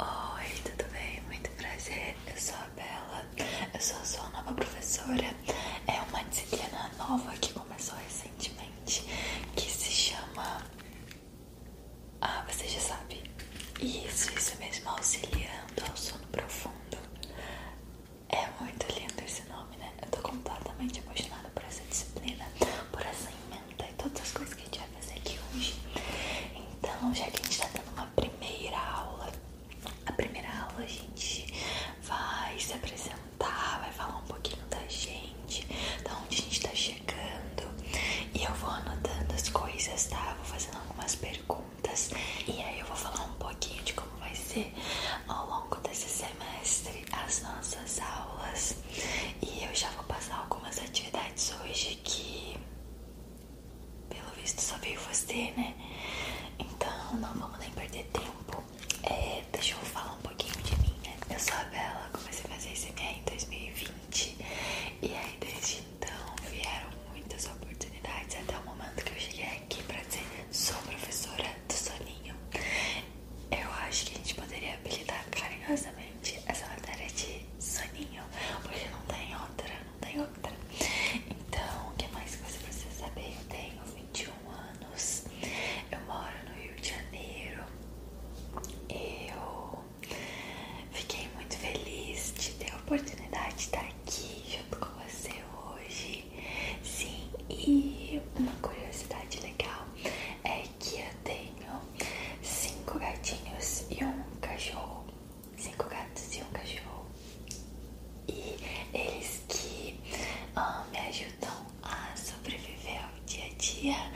Oi, tudo bem? Muito prazer, eu sou a Bela, eu sou a sua nova professora. É uma disciplina nova que começou recentemente, que se chama... Ah, você já sabe. Isso, isso mesmo, auxiliando ao sono profundo. É muito lindo esse nome, né? Eu tô completamente emocionada por essa disciplina, por essa ferramenta e todas as coisas que a gente vai fazer aqui hoje. Então, já que a gente tá dando uma primeira aula, a primeira aula a gente vai se apresentar, vai falar um pouquinho da gente, da onde a gente tá chegando. E eu vou anotando as coisas, tá? Vou fazendo algumas perguntas e aí eu vou falar um pouquinho de como vai ser ao longo desse semestre as nossas aulas. E eu já vou passar algumas atividades hoje que, pelo visto, só veio você, né? Então, não vamos nem perder tempo. É, deixa eu falar um pouquinho de mim, né? Eu sou a Bela, comecei a fazer SMR em 2020 e aí desde então vieram muitas oportunidades até o momento que eu cheguei aqui pra dizer sou professora do Soninho. Eu acho que a gente poderia habilitar carinhosamente essa matéria de soninho, porque não tem outra, não tem outra. Então, o que mais que você precisa saber? Eu tenho 21 anos, eu moro no Rio de Janeiro, eu fiquei muito feliz de ter a oportunidade de estar aqui junto com você hoje. Sim, e uma curiosidade legal é que eu tenho cinco gatinhos e um cachorro. Cinco gatos e um cachorro. E eles que ah, me ajudam a sobreviver ao dia a dia,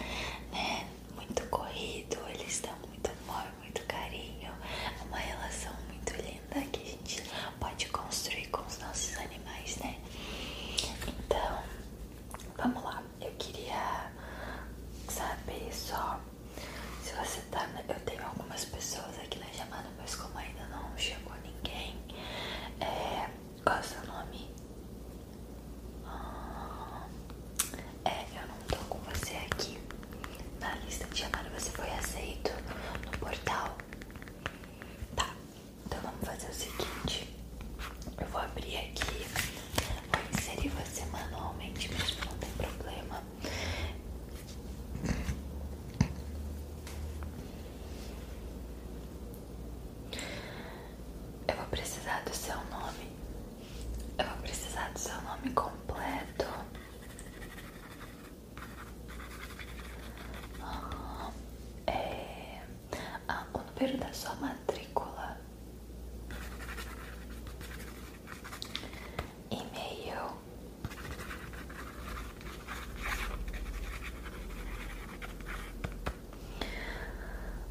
né? Muito corrido, eles dão muito amor, muito carinho. É uma relação muito linda que a gente pode construir com os nossos animais, né? Então, vamos lá eu queria saber só se você tá. Eu tenho algumas pessoas aqui na chamada, mas como ainda não chegou ninguém, é, qual é o seu nome? Ah, é, eu não tô com você aqui na lista de chamada. Você foi aceito no portal? Tá, então vamos fazer o seguinte: eu vou abrir aqui, vou inserir você manualmente mas não tem problema. Eu vou precisar do seu nome. Eu vou precisar do seu nome completo. Ah, o número da sua matrícula. E-mail.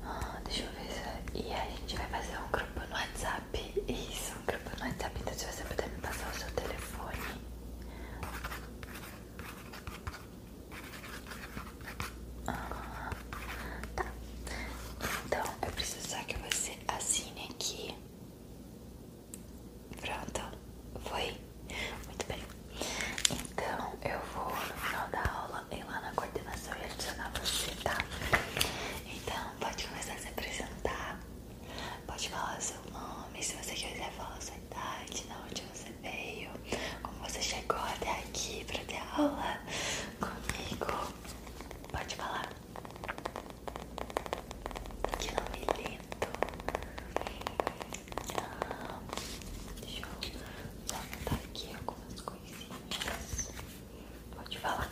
Ah, deixa eu ver se... É- e a gente vai fazer um grupo no WhatsApp. Isso, um grupo no WhatsApp. Então se você puder me passar o seu telefone. Ah, tá. Então eu preciso só que você assine aqui. Pronto, foi? Muito bem. Então eu vou no final da aula ir lá na coordenação e adicionar você, tá? Então pode começar a se apresentar. Pode falar seu nome, se você quiser falar sua idade, de onde você veio, como você chegou até aqui pra ter aula comigo. Pode falar. Que nome lindo. deixa eu só botar aqui algumas coisinhas. Pode falar.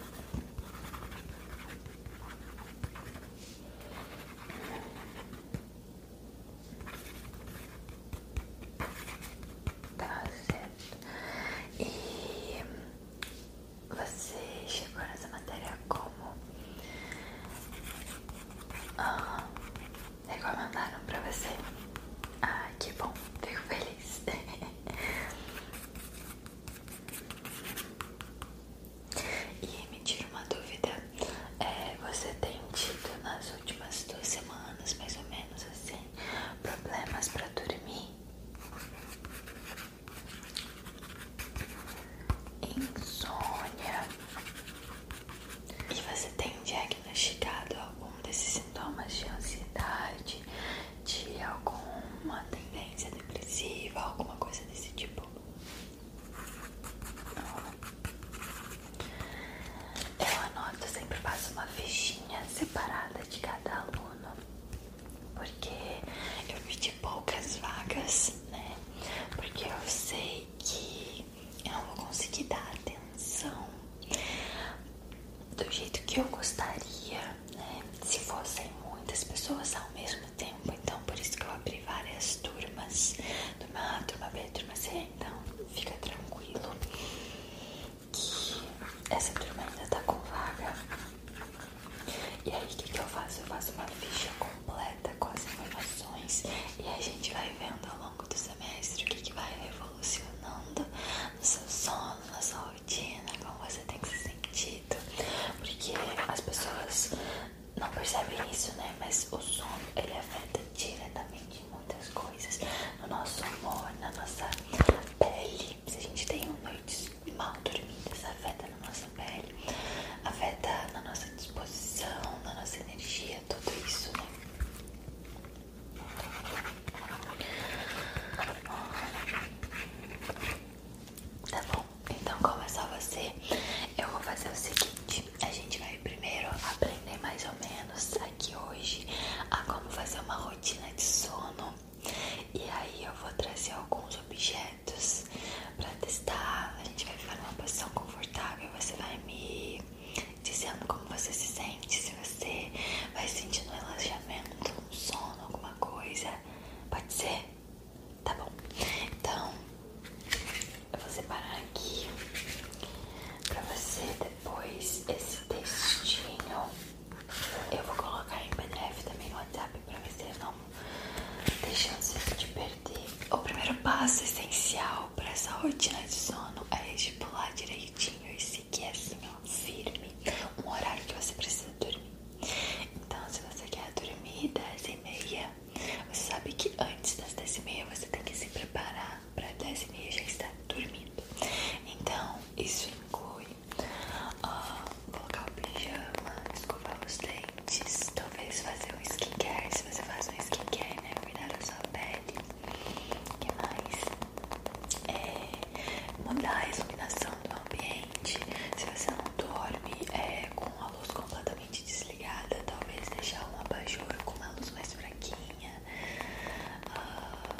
Tá certo. E você chegou nessa matéria como? Ah, mandaram pra você? Ah, que bom, fico feliz. E me tira uma dúvida, é, você tem tido nas últimas duas semanas, mais ou menos assim, problemas para dormir? Insônia. E você tem diagnosticado algum desses sintomas de ansiedade, de alguma tendência depressiva, alguma coisa desse tipo? Eu anoto, sempre faço uma fichinha separada de cada aluno, porque eu pedi poucas vagas, né? Porque eu sei que eu não vou conseguir dar atenção do jeito que eu gostaria, né? Se fossem muitas pessoas ao mesmo tempo, então por isso que eu abri várias turmas, turma A, turma B, turma C, então fica tranquilo que essa turma ainda tá com vaga. E aí o que, que eu faço? Eu faço uma ficha completa com as informações e a gente vai vendo ao longo do semestre o que, que vai revolucionando no seu sono, na sua rotina, como você tem que se sentido. Porque as pessoas não percebe isso, né? Mas o sono ele afeta diretamente muitas coisas no nosso humor, na nossa pele. Se a gente tem noites mal dormidas, afeta na nossa pele, afeta na nossa disposição, na nossa energia, tudo isso, né? Tá bom. Então, como é só você, eu vou fazer o seguinte: a gente vai primeiro aprender mais ou menos aqui hoje a como fazer uma rotina de sono. E aí eu vou trazer alguns objetos para testar. A gente vai ficar numa posição confortável. Você vai me dizendo como você se sente, se você vai sentindo um relaxamento, um sono, alguma coisa. Pode ser? Tá bom. Então, eu vou separar aqui pra você depois esse textinho. Eu vou colocar em PDF também no WhatsApp pra você não deixar você de perder. O primeiro passo essencial pra essa rotina de sono é estipular direitinho e seguir assim, ó, firme, um horário que você precisa dormir. Então, se você quer dormir 10 e meia, você sabe que antes das 10 e meia você tem que se preparar para 10 e meia já estar dormindo. Então, isso inclui ah, colocar o pijama, escovar os dentes, talvez fazer um skincare, se você faz um skincare, né? Cuidar da sua pele. que mais? É, mudar a iluminação do ambiente. Se você não dorme, é uma luz completamente desligada, talvez deixar uma abajur com uma luz mais fraquinha, ah,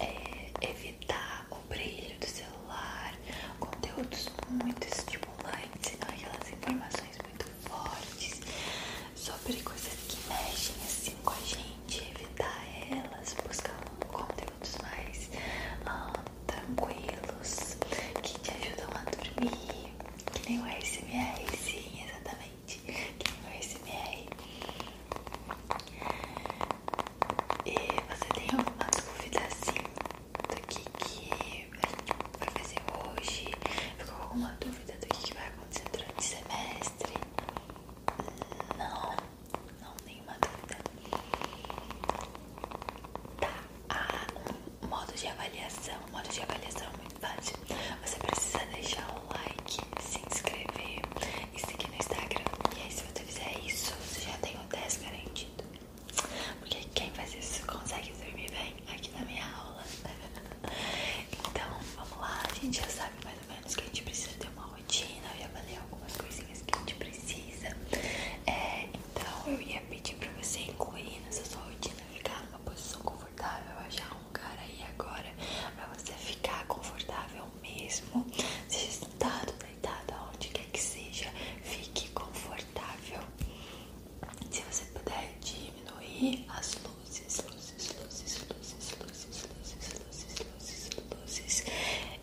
é, evitar o brilho do celular, conteúdos muito estimulantes, aquelas informações muito fortes sobre coisas que mexem assim com a gente, evitar elas, buscar um conteúdo minutos mais ah, tranquilos que te ajudam a dormir, que nem o ASMR, sim, exatamente, que nem o ASMR. E você tem alguma dúvida assim do que, que vai fazer hoje? Ficou alguma dúvida do que, que vai acontecer durante o semestre? Não não, nenhuma dúvida. Tá, ah, um modo de avaliação, um modo de avaliação é muito fácil. Você precisa deixar o like, se inscrever e seguir no Instagram. E aí se você fizer isso, você já tem o 10 garantido. Porque quem faz isso consegue dormir bem aqui na minha aula. Então, vamos lá, a gente já sabe mais ou menos que a gente precisa ter uma rotina e avaliar algumas coisinhas que a gente precisa. É, então eu ia pedir pra você incluir nessa sua rotina, ficar numa posição confortável, achar um cara aí agora pra você ficar confortável mesmo. Seja sentado, deitado, onde quer que seja, fique confortável. Se você puder diminuir as luzes, luzes, luzes, luzes, luzes, luzes, luzes, luzes, luzes, luzes.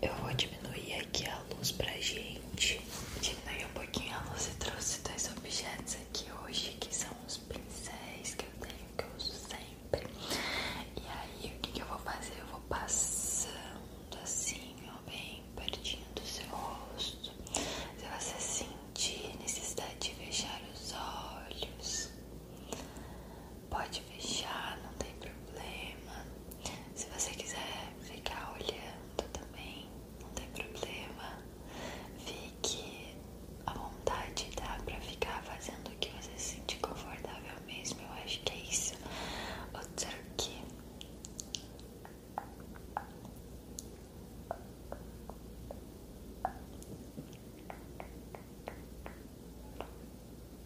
Eu vou diminuir porque a luz pra gente diminui um pouquinho a luz e trouxe dois objetos aqui hoje que são os pincéis que eu tenho, que eu uso sempre. E aí o que, que eu vou fazer? Eu vou passando assim, ó, bem pertinho do seu rosto. Se você sentir necessidade de fechar os olhos, pode fechar, não tem problema. Se você quiser ficar olhando também, não tem problema. Fique à vontade, dá pra ficar fazendo o que você se sentir confortável mesmo. Eu acho que é isso. Outro aqui.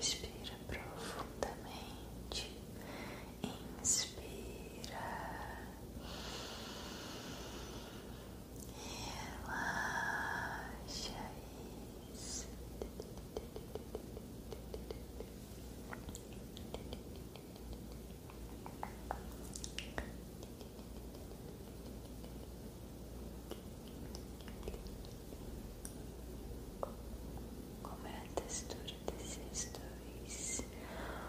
Respira profundamente, inspira, Relaxa isso. Como é a textura desses dois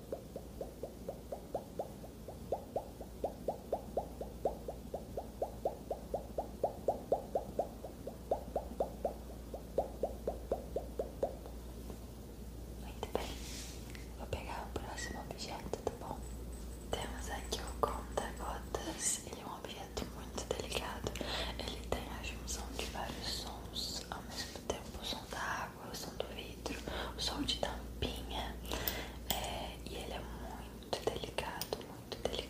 Muito bem, vou pegar o próximo objeto, tá bom? Temos aqui o conta-gotas, ele é um objeto muito delicado, ele tem a junção de vários sons ao mesmo tempo, o som da água água, o som do vidro, o som de tampinha. É, e ele é muito delicado, muito delicado.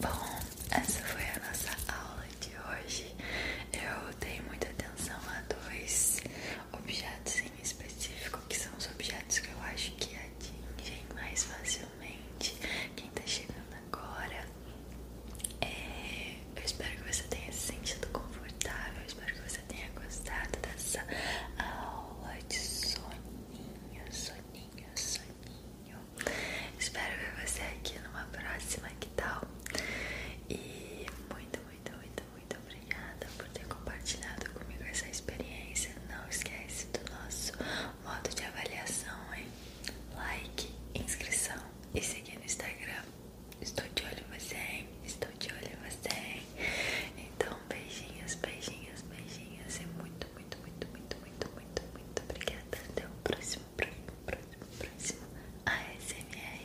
Bom, essa foi a nossa aula de hoje. Eu dei muita atenção a dois objetos em específico, que são os objetos que eu acho que atingem mais facilmente quem tá chegando agora, é, eu espero que você tenha se sentido confortável. espero que você tenha gostado dessa aula de soninho, soninho, soninho. Espero ver você aqui numa próxima. Que tal? E muito, muito, muito, muito obrigada por ter compartilhado comigo essa experiência. Não esquece do nosso Modo de avaliação é like, inscrição e seguir no Instagram. Estou de olho em você, hein? Estou de olho em você. Hein? Então, beijinhos, beijinhos, beijinhos. E muito, muito, muito, muito, muito, muito, muito obrigada. Até o próximo, próximo, próximo, próximo A ASMR.